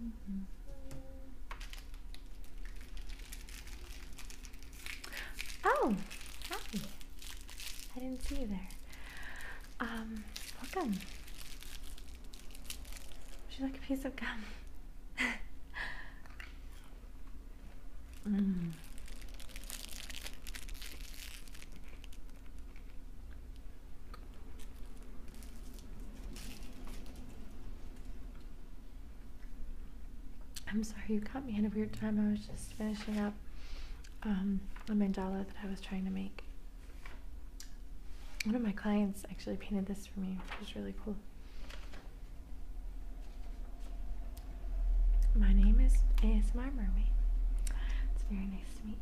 Mm-hmm. Oh, hi. I didn't see you there. Um, welcome. Would you like a piece of gum? Mm. I'm sorry, you caught me in a weird time. I was just finishing up um, a mandala that I was trying to make. One of my clients actually painted this for me, which is really cool. My name is ASMR Mermaid. It's very nice to meet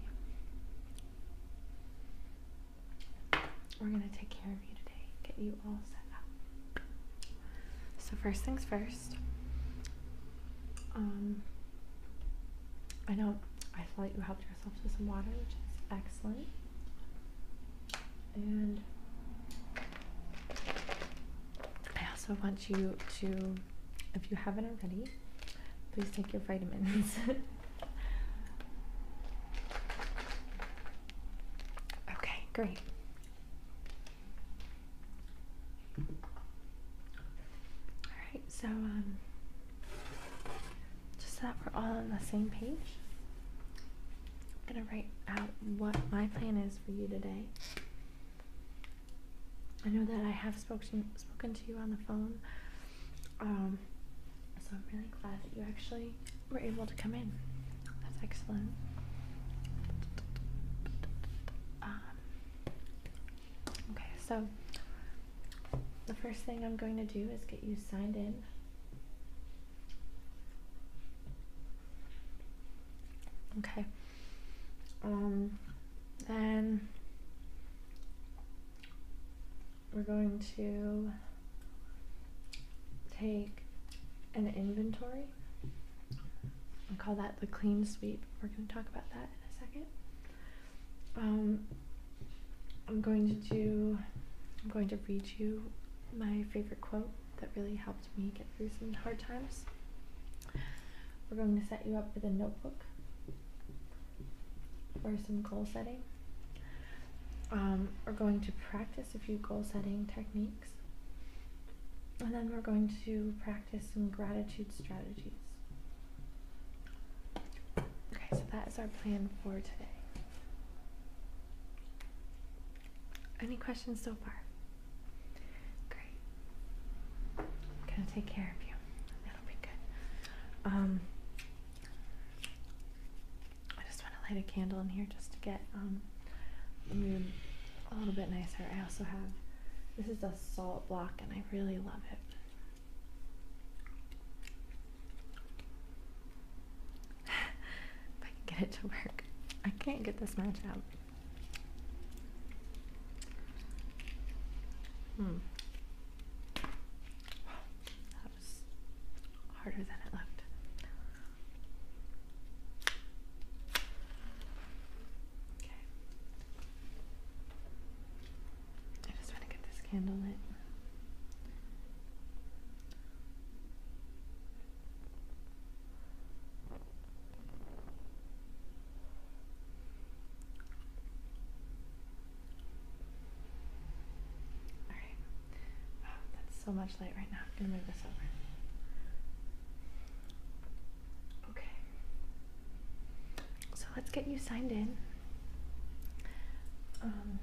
you. We're gonna take care of you today, get you all set up. So first things first. Um, I know I saw that you helped yourself to some water, which is excellent. And I also want you to, if you haven't already, please take your vitamins. okay, great. All right, so um, just so that we're all on the same page, I'm gonna write out what my plan is for you today. I know that I have spoken spoken to you on the phone, um, so I'm really glad that you actually were able to come in. That's excellent. Um, okay, so the first thing I'm going to do is get you signed in okay um, then we're going to take an inventory and call that the clean sweep we're going to talk about that in a second um, i'm going to do i'm going to read you my favorite quote that really helped me get through some hard times. We're going to set you up with a notebook for some goal setting. Um, we're going to practice a few goal setting techniques. And then we're going to practice some gratitude strategies. Okay, so that is our plan for today. Any questions so far? Great. I'm gonna take care of you. That'll be good. Um, I just want to light a candle in here just to get um, a little bit nicer. I also have this is a salt block, and I really love it if I can get it to work. I can't get this match out. Hmm. That was harder than it looked. Okay. I just want to get this candle lit. All right. Wow, um, that's so much light right now. I'm gonna move this over. Okay. So let's get you signed in. Um,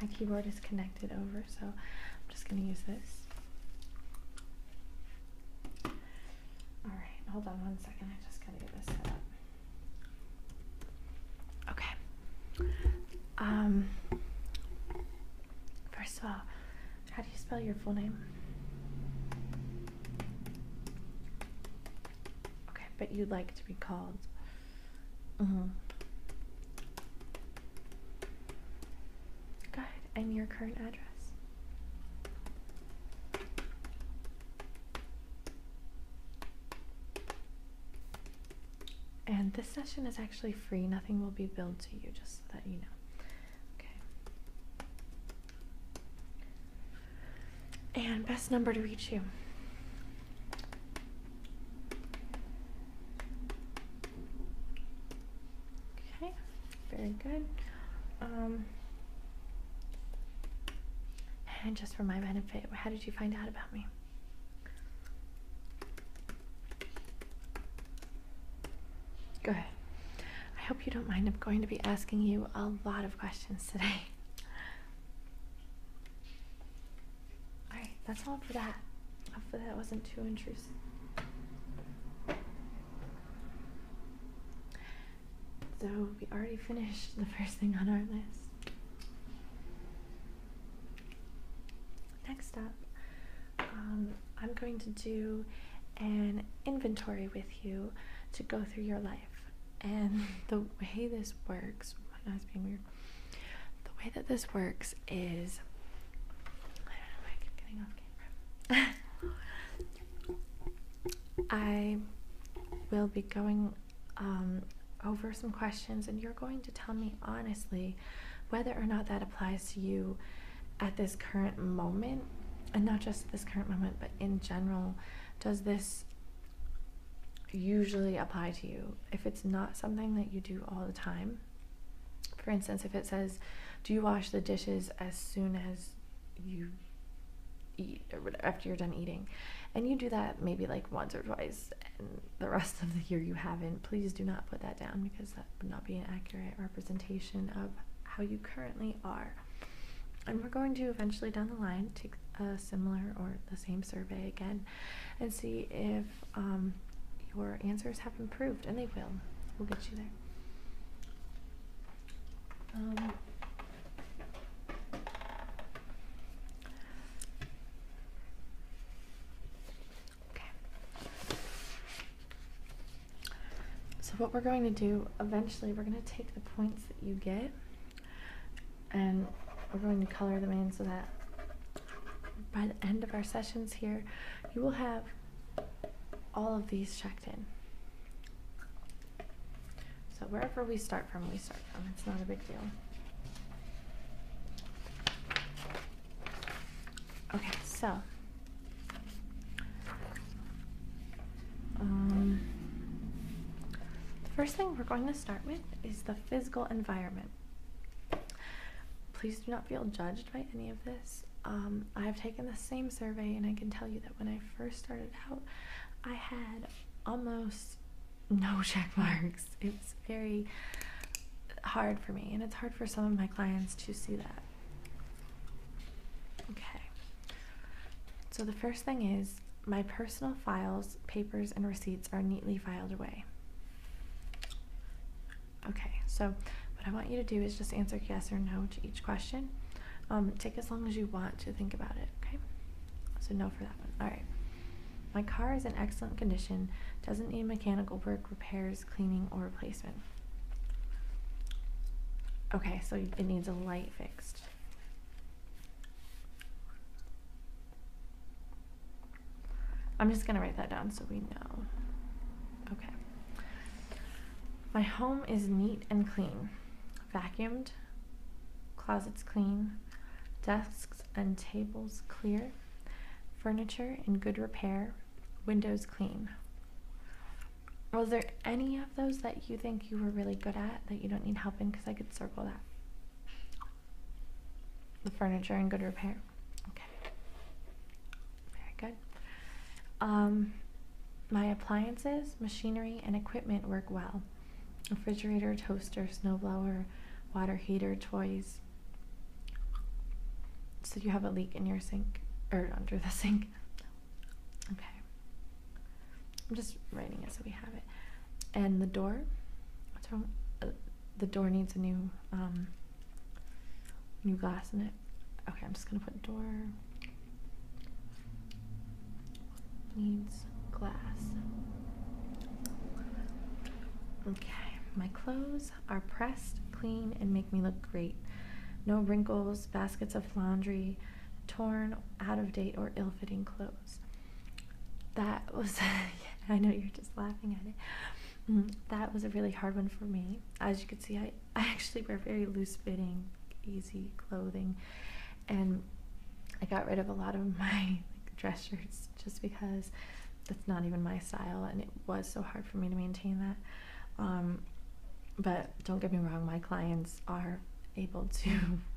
my keyboard is connected over, so I'm just going to use this. Alright, hold on one second. I just got to get this set up. Okay. Um, first of all, how do you spell your full name? Okay, but you'd like to be called Mm-hmm. Go and your current address. And this session is actually free. Nothing will be billed to you, just so that you know. Okay and best number to reach you. Okay, very good. Um, and just for my benefit, how did you find out about me? Go ahead. I hope you don't mind. I'm going to be asking you a lot of questions today. Alright, that's all for that. Hopefully that wasn't too intrusive. So we already finished the first thing on our list. Next up, um, I'm going to do an inventory with you to go through your life. And the way this works my being weird. The way that this works is I will be going um, over some questions, and you're going to tell me honestly whether or not that applies to you at this current moment, and not just this current moment, but in general. Does this usually apply to you. If it's not something that you do all the time, for instance, if it says, Do you wash the dishes as soon as you eat or after you're done eating? And you do that maybe like once or twice, and the rest of the year you haven't, please do not put that down because that would not be an accurate representation of how you currently are. And we're going to eventually down the line take a similar or the same survey again and see if um, your answers have improved, and they will. We'll get you there. Um, okay. So, what we're going to do eventually, we're going to take the points that you get and we're going to color them in so that by the end of our sessions here, you will have all of these checked in. So wherever we start from, we start from. It's not a big deal. Okay, so um, the first thing we're going to start with is the physical environment. Please do not feel judged by any of this. Um, I've taken the same survey, and I can tell you that when I first started out, I had almost no check marks. It's very hard for me, and it's hard for some of my clients to see that. Okay. So the first thing is my personal files, papers, and receipts are neatly filed away. Okay, so what I want you to do is just answer yes or no to each question. Um, take as long as you want to think about it, okay? So no for that one. All right. My car is in excellent condition, doesn't need mechanical work, repairs, cleaning, or replacement. Okay, so it needs a light fixed. I'm just going to write that down so we know. Okay. My home is neat and clean, vacuumed, closets clean, desks and tables clear, furniture in good repair, windows clean. Was there any of those that you think you were really good at that you don't need help in? Because I could circle that the furniture in good repair. Okay. Very good. Um, my appliances, machinery, and equipment work well. Refrigerator, toaster, snowblower, water heater, toys. So you have a leak in your sink or under the sink. Okay. I'm just writing it so we have it and the door what's wrong uh, the door needs a new um new glass in it okay i'm just gonna put door needs glass okay my clothes are pressed clean and make me look great no wrinkles baskets of laundry torn out of date or ill-fitting clothes that was, I know you're just laughing at it. Mm, that was a really hard one for me. As you can see, I, I actually wear very loose fitting, easy clothing, and I got rid of a lot of my dress shirts just because that's not even my style, and it was so hard for me to maintain that. Um, but don't get me wrong, my clients are able to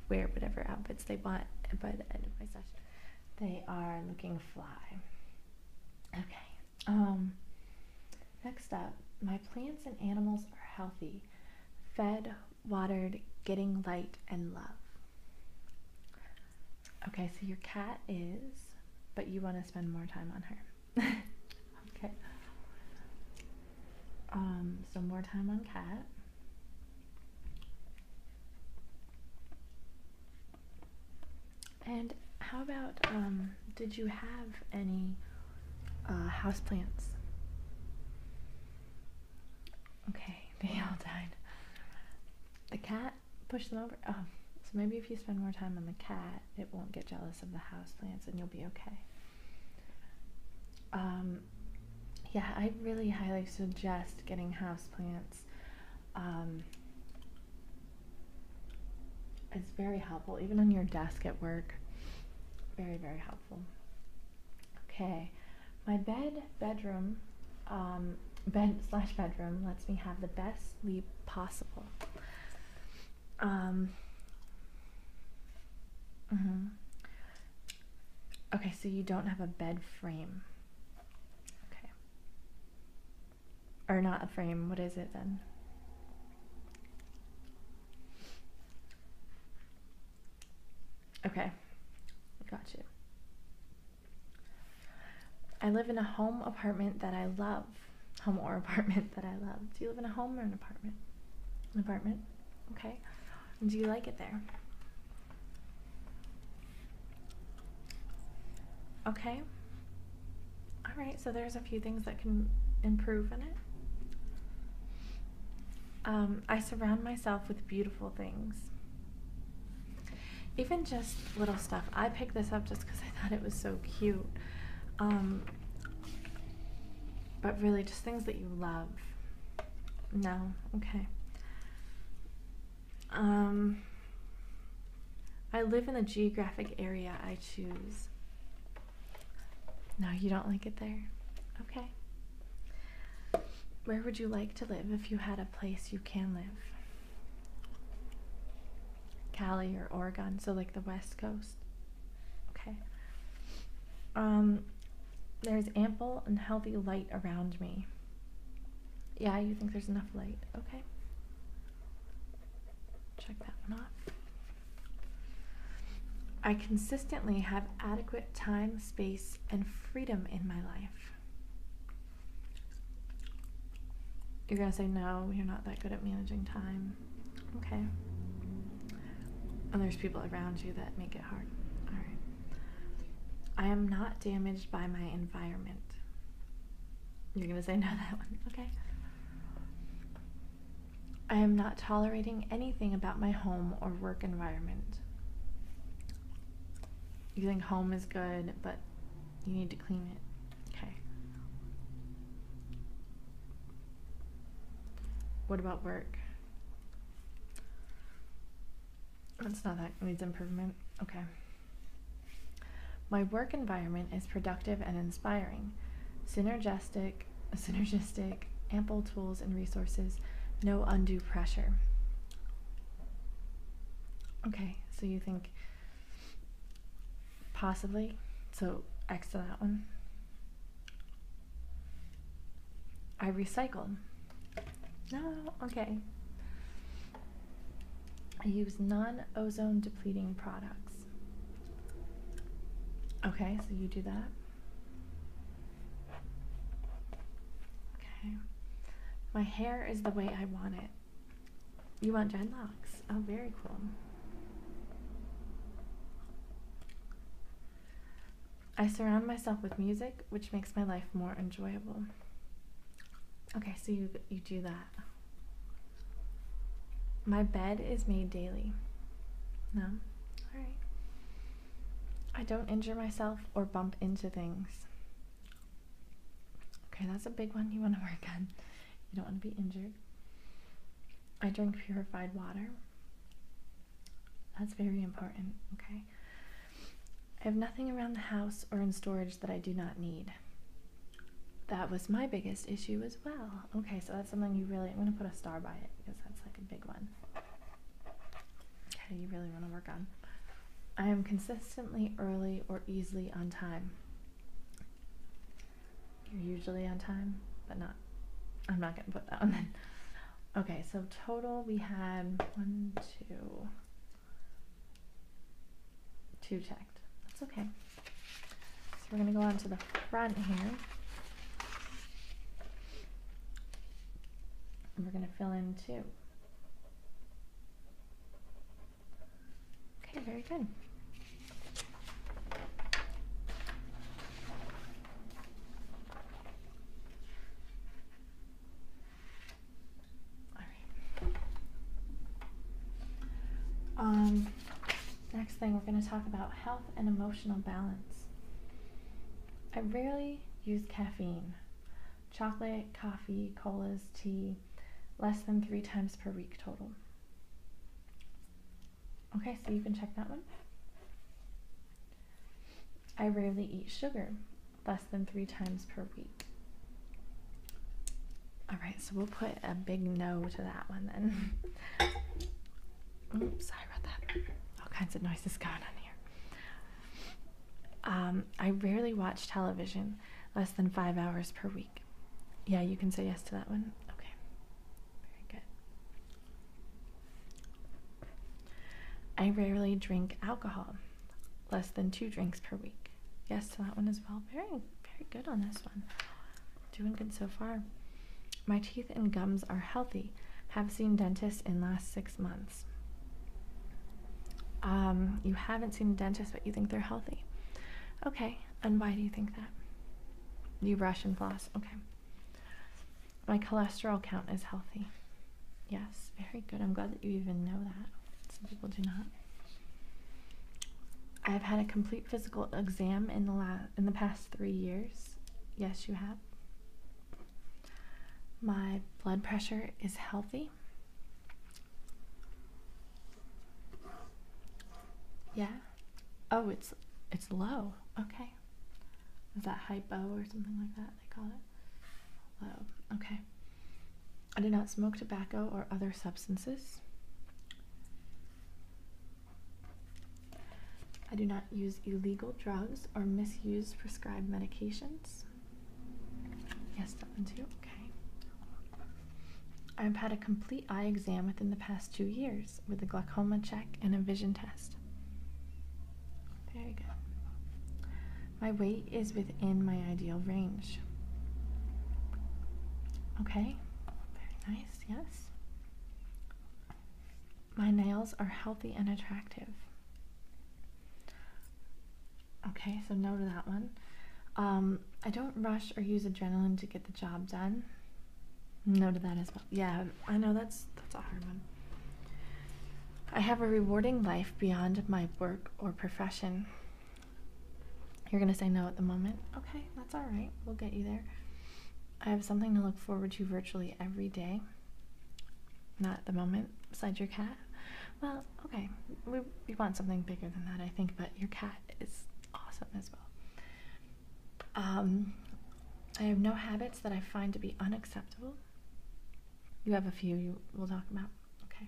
wear whatever outfits they want by the uh, end of my session. They are looking fly. Okay. Um, next up, my plants and animals are healthy, fed, watered, getting light and love. Okay, so your cat is, but you want to spend more time on her. okay. Um, so more time on cat. And how about, um, did you have any uh, houseplants? Okay, they all died. The cat pushed them over. Oh, so maybe if you spend more time on the cat, it won't get jealous of the houseplants and you'll be okay. Um, yeah, I really highly suggest getting houseplants. Um, it's very helpful, even on your desk at work. Very, very helpful. Okay, my bed, bedroom, um, bed slash bedroom lets me have the best sleep possible. Um, mm Okay, so you don't have a bed frame. Okay. Or not a frame. What is it then? Okay. Got you. I live in a home apartment that I love. Home or apartment that I love. Do you live in a home or an apartment? An apartment. Okay. Do you like it there? Okay. All right, so there's a few things that can improve in it. Um, I surround myself with beautiful things. Even just little stuff. I picked this up just because I thought it was so cute. Um, but really, just things that you love. No? Okay. Um, I live in the geographic area I choose. No, you don't like it there. Okay. Where would you like to live if you had a place you can live? Cali or Oregon, so like the West Coast. Okay. Um, there is ample and healthy light around me. Yeah, you think there's enough light. Okay. Check that one off. I consistently have adequate time, space, and freedom in my life. You're going to say, no, you're not that good at managing time. Okay. And there's people around you that make it hard. All right. I am not damaged by my environment. You're going to say no that one. Okay. I am not tolerating anything about my home or work environment. You think home is good, but you need to clean it. Okay. What about work? That's not that needs improvement. Okay. My work environment is productive and inspiring. Synergistic, synergistic, ample tools and resources, no undue pressure. Okay, so you think possibly, so X to that one. I recycle. No, okay. I use non ozone depleting products. Okay, so you do that. Okay. My hair is the way I want it. You want dreadlocks? Oh, very cool. I surround myself with music, which makes my life more enjoyable. Okay, so you you do that. My bed is made daily. No. All right. I don't injure myself or bump into things. Okay, that's a big one you want to work on. You don't want to be injured. I drink purified water. That's very important, okay? I have nothing around the house or in storage that I do not need. That was my biggest issue as well. Okay, so that's something you really, I'm going to put a star by it because that's like a big one. Okay, you really want to work on. I am consistently early or easily on time. You're usually on time, but not. I'm not going to put that one in. Okay, so total we had one, two, two checked. That's okay. So we're going to go on to the front here. And we're going to fill in two. Okay, very good. Um, next thing, we're going to talk about health and emotional balance. I rarely use caffeine. Chocolate, coffee, colas, tea, less than three times per week total. Okay, so you can check that one. I rarely eat sugar, less than three times per week. All right, so we'll put a big no to that one then. Oops, sorry about that. All kinds of noises going on here. Um, I rarely watch television, less than five hours per week. Yeah, you can say yes to that one. Okay, very good. I rarely drink alcohol, less than two drinks per week. Yes to that one as well. Very, very good on this one. Doing good so far. My teeth and gums are healthy. Have seen dentist in last six months. Um, you haven't seen a dentist, but you think they're healthy. Okay, and why do you think that? You brush and floss. Okay. My cholesterol count is healthy. Yes, very good. I'm glad that you even know that. Some people do not. I have had a complete physical exam in the last in the past three years. Yes, you have. My blood pressure is healthy. Yeah. Oh, it's it's low. Okay. Is that hypo or something like that? They call it. Low. Okay. I do not smoke tobacco or other substances. I do not use illegal drugs or misuse prescribed medications. Yes, that one too. Okay. I have had a complete eye exam within the past two years with a glaucoma check and a vision test. Very good. My weight is within my ideal range. Okay, very nice, yes. My nails are healthy and attractive. Okay, so no to that one. Um, I don't rush or use adrenaline to get the job done. No to that as well. Yeah, I know that's that's a hard one. I have a rewarding life beyond my work or profession. You're going to say no at the moment. Okay, that's all right. We'll get you there. I have something to look forward to virtually every day. Not at the moment, besides your cat. Well, okay, we, we want something bigger than that, I think, but your cat is awesome as well. Um, I have no habits that I find to be unacceptable. You have a few you will talk about. Okay.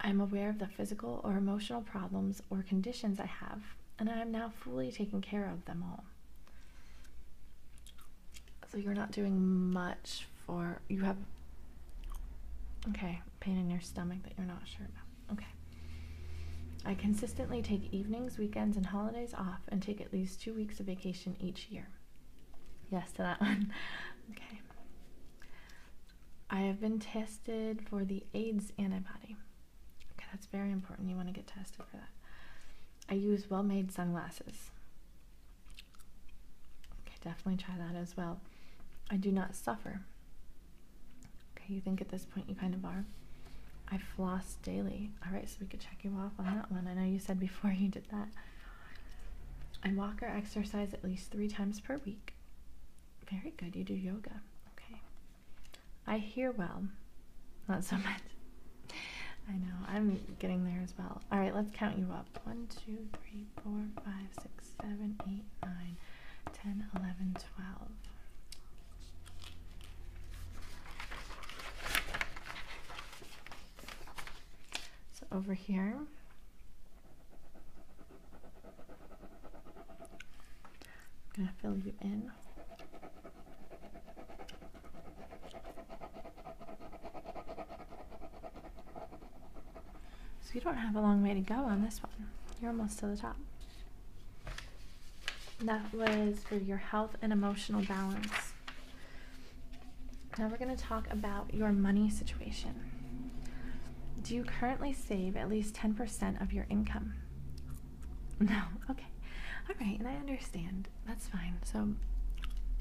I am aware of the physical or emotional problems or conditions I have, and I am now fully taking care of them all. So you're not doing much for you have okay, pain in your stomach that you're not sure about. Okay. I consistently take evenings, weekends, and holidays off and take at least two weeks of vacation each year. Yes to that one. Okay. I have been tested for the AIDS antibody. Okay, that's very important. You want to get tested for that. I use well made sunglasses. Okay, definitely try that as well. I do not suffer. Okay, you think at this point you kind of are. I floss daily. All right, so we could check you off on that one. I know you said before you did that. I walk or exercise at least three times per week. Very good. You do yoga. Okay. I hear well. Not so much. I know. I'm getting there as well. All right, let's count you up. One, two, three, four, five, six, seven, eight, nine, ten, eleven, twelve. So over here, I'm going to fill you in. So you don't have a long way to go on this one. You're almost to the top. That was for your health and emotional balance. Now we're going to talk about your money situation. Do you currently save at least 10% of your income? No. Okay. All right. And I understand. That's fine. So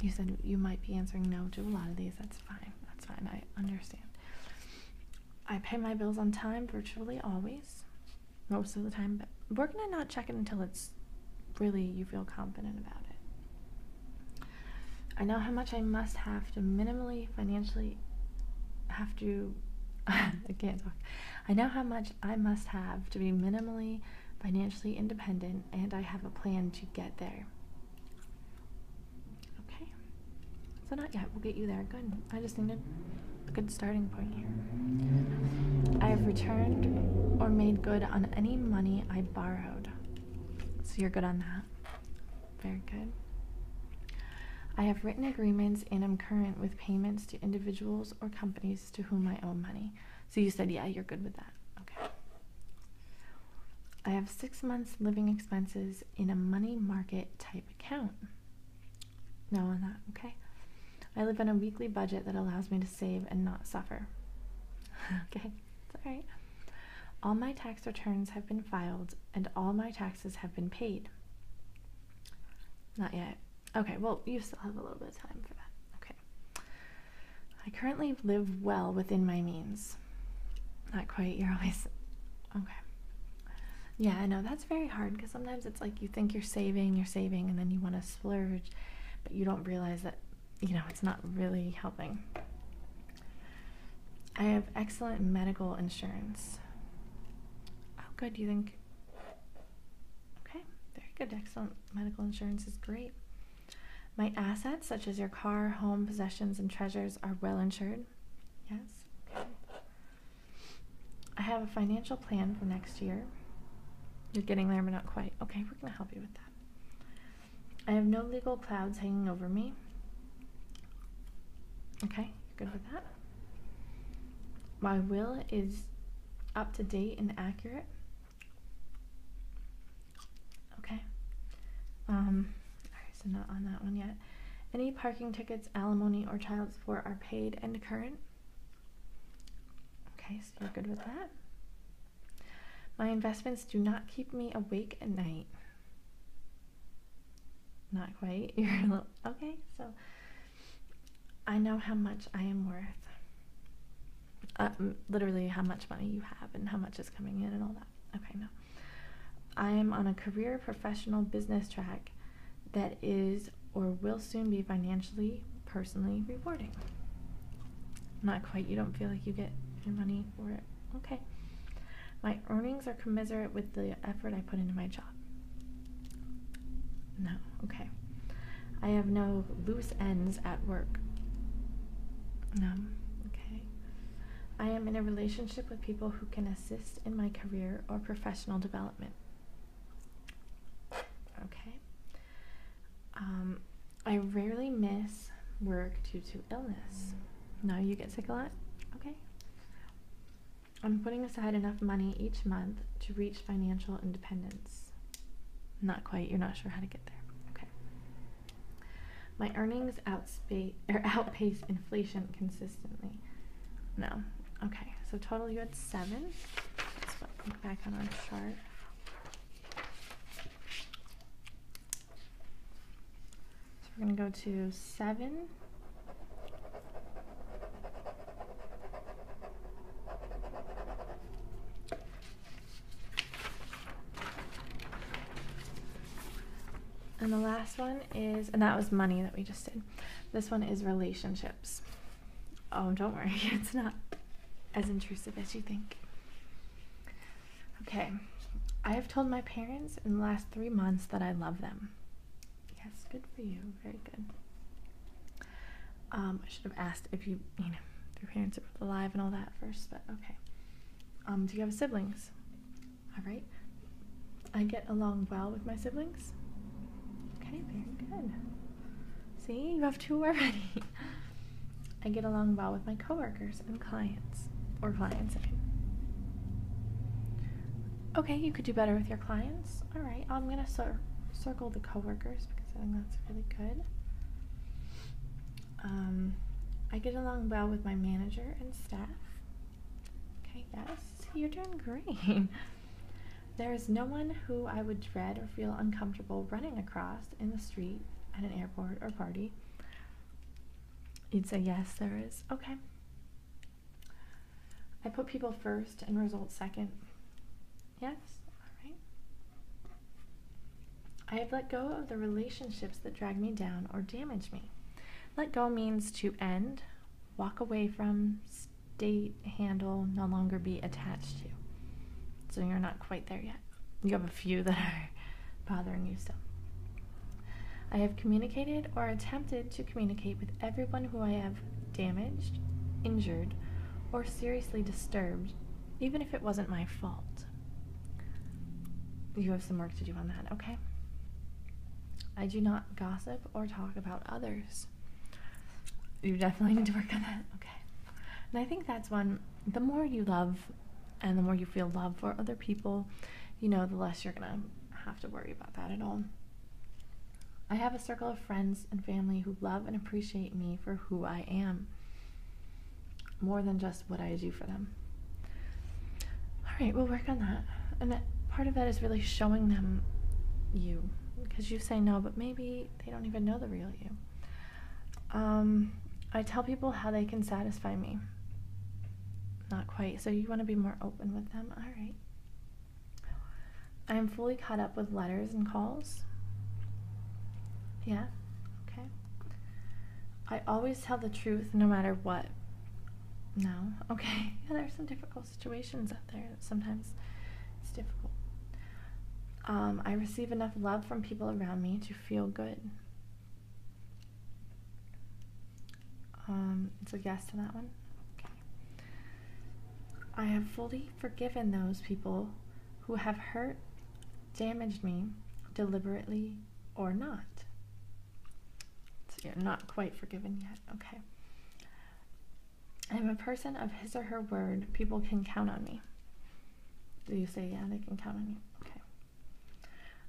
you said you might be answering no to a lot of these. That's fine. That's fine. I understand. I pay my bills on time virtually always, most of the time, but we're going not check it until it's really you feel confident about it. I know how much I must have to minimally financially have to I can't talk. I know how much I must have to be minimally financially independent and I have a plan to get there. Okay. So not yet. We'll get you there. Good. I just need a good starting point here. I have returned or made good on any money I borrowed. So you're good on that. Very good. I have written agreements and i am current with payments to individuals or companies to whom I owe money. So you said, yeah, you're good with that. Okay. I have six months living expenses in a money market type account. No, on that. Okay. I live on a weekly budget that allows me to save and not suffer. okay all right. All my tax returns have been filed and all my taxes have been paid. Not yet. Okay, well, you still have a little bit of time for that. Okay. I currently live well within my means. Not quite, you're Okay. Yeah, I know that's very hard because sometimes it's like you think you're saving, you're saving, and then you want to splurge, but you don't realize that you know, it's not really helping. I have excellent medical insurance. How oh, good. do You think? Okay, very good. Excellent medical insurance is great. My assets, such as your car, home, possessions, and treasures, are well insured. Yes. Okay. I have a financial plan for next year. You're getting there, but not quite. Okay, we're going to help you with that. I have no legal clouds hanging over me. Okay, good with that. My will is up to date and accurate. Okay. Um, so not on that one yet. Any parking tickets, alimony, or child support are paid and current. Okay, so you're good with that. My investments do not keep me awake at night. Not quite. You're a little, okay, so I know how much I am worth. Uh, literally, how much money you have and how much is coming in and all that. Okay, no. I am on a career, professional, business track that is or will soon be financially personally rewarding. Not quite, you don't feel like you get your money for it. Okay. My earnings are commensurate with the effort I put into my job. No, okay. I have no loose ends at work. No, okay. I am in a relationship with people who can assist in my career or professional development. Okay. Um, I rarely miss work due to illness. Now you get sick a lot? Okay. I'm putting aside enough money each month to reach financial independence. Not quite, you're not sure how to get there. Okay. My earnings outspace or outpace inflation consistently. No. Okay. So total you had seven. Let's look back on our chart. So we're going to go to 7. And the last one is, and that was money that we just did. This one is relationships. Oh, don't worry, it's not as intrusive as you think. Okay, I have told my parents in the last three months that I love them. Yes, good for you. Very good. Um, I should have asked if you, you know, if your parents are alive and all that first, but okay. Um, do you have siblings? All right. I get along well with my siblings. Okay, very good. See, you have two already. I get along well with my coworkers and clients, or clients. Okay, you could do better with your clients. All right, I'm gonna cir circle the coworkers because I think that's really good. Um, I get along well with my manager and staff. Okay, yes, you're doing great. there is no one who I would dread or feel uncomfortable running across, in the street at an airport or party, you'd say, Yes, there is. Okay. I put people first and results second. Yes, alright. I have let go of the relationships that drag me down or damage me. Let go means to end, walk away from, state, handle, no longer be attached to. So you're not quite there yet. You have a few that are bothering you still. I have communicated or attempted to communicate with everyone who I have damaged, injured, or seriously disturbed, even if it wasn't my fault. You have some work to do on that, okay? I do not gossip or talk about others. You definitely need to work on that, okay? And I think that's one, the more you love and the more you feel love for other people, you know, the less you're gonna have to worry about that at all. I have a circle of friends and family who love and appreciate me for who I am, more than just what I do for them. All right, we'll work on that. And part of that is really showing them you, because you say no, but maybe they don't even know the real you. Um, I tell people how they can satisfy me. Not quite. So you want to be more open with them? All right. I am fully caught up with letters and calls. Yeah. Okay. I always tell the truth no matter what. No. Okay. Yeah, there's some difficult situations out there. Sometimes it's difficult. Um, I receive enough love from people around me to feel good. Um, it's a yes to that one. I have fully forgiven those people who have hurt, damaged me, deliberately or not. So you're not quite forgiven yet. Okay. I'm a person of his or her word. People can count on me. Do you say, yeah, they can count on you? Okay.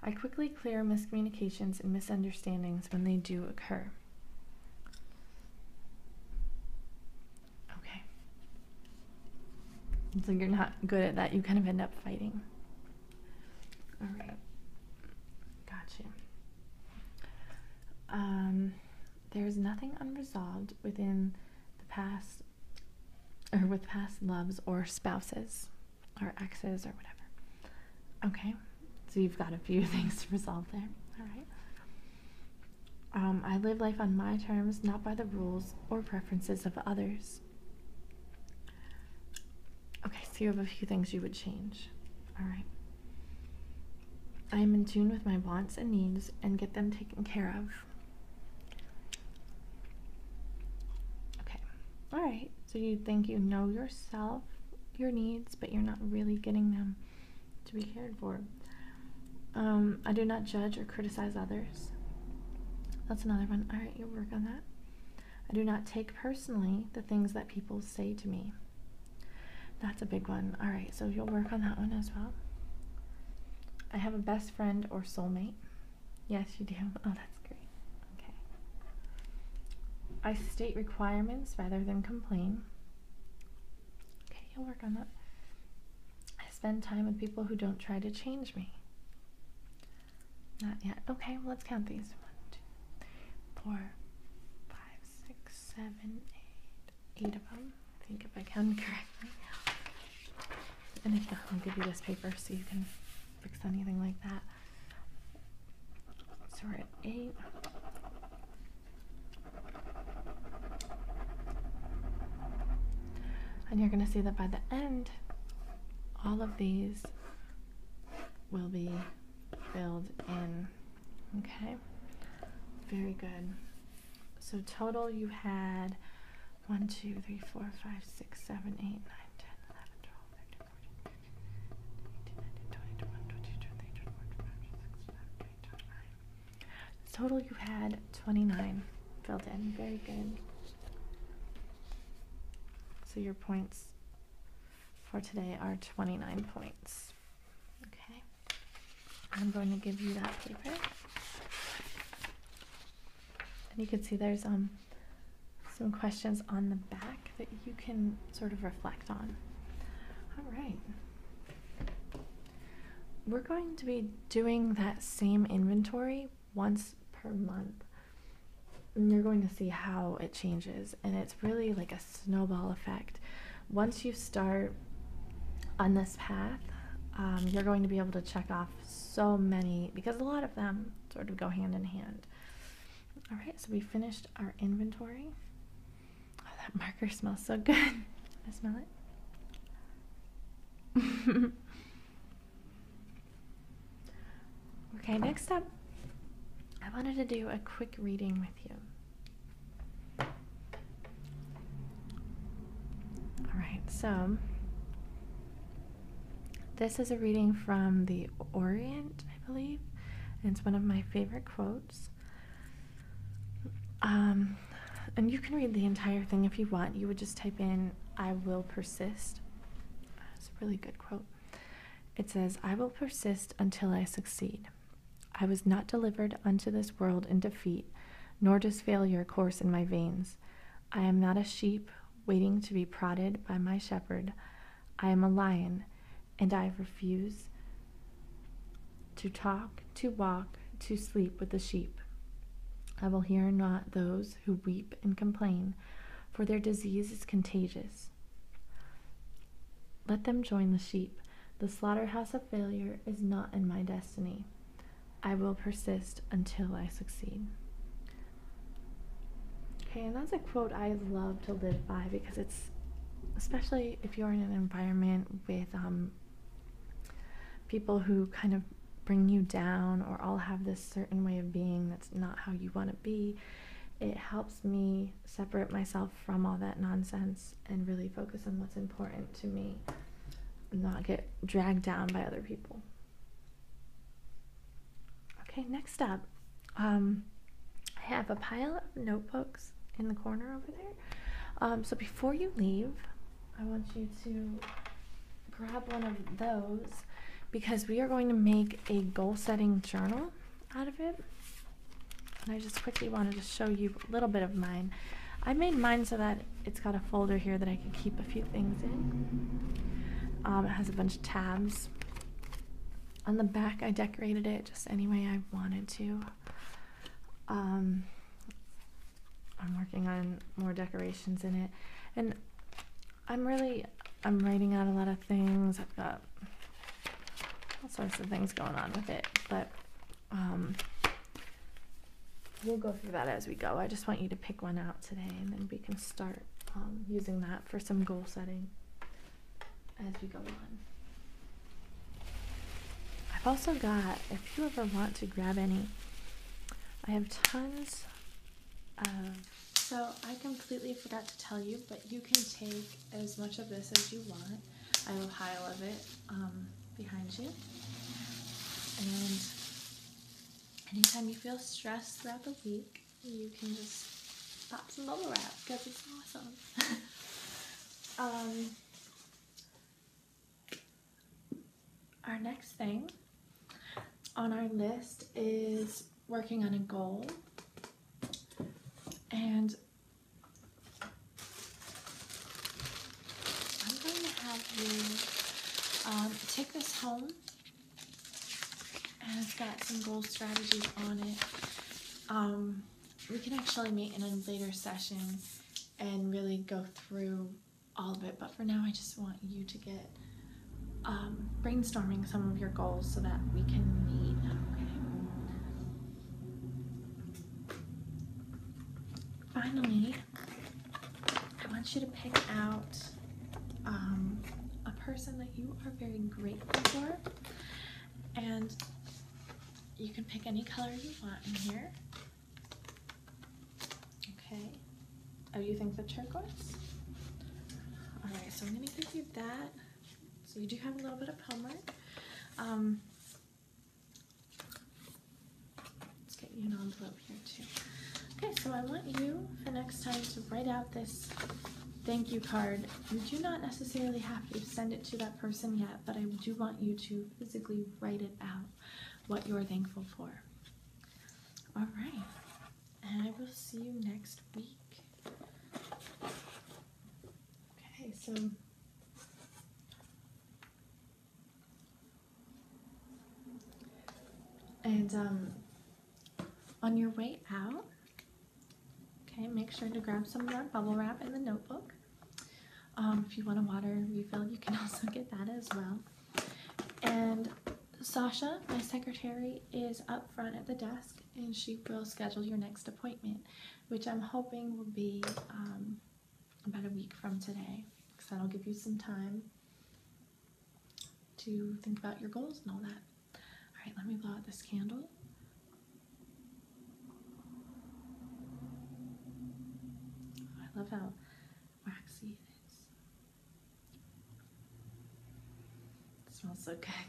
I quickly clear miscommunications and misunderstandings when they do occur. Okay. So you're not good at that. You kind of end up fighting. All right. Gotcha. Um, there is nothing unresolved within the past or with past loves or spouses or exes or whatever. Okay, so you've got a few things to resolve there. All right. Um, I live life on my terms, not by the rules or preferences of others. Okay, so you have a few things you would change. All right. I am in tune with my wants and needs and get them taken care of. Okay. All right. So you think you know yourself, your needs, but you're not really getting them to be cared for. Um, I do not judge or criticize others. That's another one. All right, you'll work on that. I do not take personally the things that people say to me. That's a big one. All right, so you'll work on that one as well. I have a best friend or soulmate. Yes, you do. Oh, that's great. Okay. I state requirements rather than complain. Okay, you'll work on that. I spend time with people who don't try to change me. Not yet. Okay, let's count these. One, two, four, five, six, seven, eight. Eight of them. I think if I can correctly. And if not, I'll give you this paper so you can fix anything like that. So we're at eight. And you're going to see that by the end, all of these will be filled in. Okay? Very good. So, total you had 1, 2, 3, 4, 5, 6, 7, 8, 9, 10, 11, 12, 13, 14, 15, 18, 19, 20, 21, 22, 23, 24, 25, 26, 27, 28, 29. Total you had 29 filled in. Very good. So your points for today are 29 points. Okay. I'm going to give you that paper. And you can see there's um, some questions on the back that you can sort of reflect on. All right. We're going to be doing that same inventory once per month. And you're going to see how it changes. And it's really like a snowball effect. Once you start on this path, um, you're going to be able to check off so many because a lot of them sort of go hand in hand. All right, so we finished our inventory. Oh, that marker smells so good. I smell it. okay, next up, I wanted to do a quick reading with you. All right, so this is a reading from the Orient, I believe, and it's one of my favorite quotes. Um, and you can read the entire thing if you want. You would just type in, I will persist. That's a really good quote. It says, I will persist until I succeed. I was not delivered unto this world in defeat, nor does failure course in my veins. I am not a sheep waiting to be prodded by my shepherd. I am a lion, and I refuse to talk, to walk, to sleep with the sheep. I will hear not those who weep and complain, for their disease is contagious. Let them join the sheep. The slaughterhouse of failure is not in my destiny. I will persist until I succeed. Okay, and that's a quote I love to live by because it's especially if you're in an environment with um, people who kind of bring you down or all have this certain way of being that's not how you want to be. It helps me separate myself from all that nonsense and really focus on what's important to me, and not get dragged down by other people. Okay, next up, um, I have a pile of notebooks in the corner over there. Um, so before you leave, I want you to grab one of those because we are going to make a goal setting journal out of it. And I just quickly wanted to show you a little bit of mine. I made mine so that it's got a folder here that I can keep a few things in. Um, it has a bunch of tabs. On the back, I decorated it just any way I wanted to. Um, I'm working on more decorations in it, and I'm really I'm writing out a lot of things. I've got all sorts of things going on with it, but um, We'll go through that as we go. I just want you to pick one out today and then we can start um, using that for some goal setting as we go on. I've also got, if you ever want to grab any, I have tons So I completely forgot to tell you, but you can take as much of this as you want. I have a pile of it um, behind you. And anytime you feel stressed throughout the week, you can just pop some bubble wrap because it's awesome. Um, our next thing on our list is working on a goal. And I'm going to have you um, take this home. And it's got some goal strategies on it. Um, we can actually meet in a later session and really go through all of it. But for now, I just want you to get um, brainstorming some of your goals so that we can meet. Finally, I want you to pick out um, a person that you are very grateful for. And you can pick any color you want in here. Okay. Oh, you think the turquoise? All right, so I'm gonna give you that. So you do have a little bit of homework. Um, Let's get you an envelope here too. Okay, so I want you for next time to write out this thank you card. You do not necessarily have to send it to that person yet, but I do want you to physically write it out, what you're thankful for. All right, and I will see you next week. Okay, so and um, on your way out, okay, make sure to grab some of that bubble wrap in the notebook. Um, if you want a water refill, you can also get that as well. And Sasha, my secretary, is up front at the desk and she will schedule your next appointment, which I'm hoping will be um, about a week from today because that'll give you some time to think about your goals and all that. All right, let me blow out this candle. I love how waxy it is. smells so good.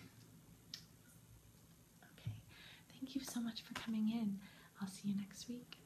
Okay, thank you so much for coming in. I'll see you next week.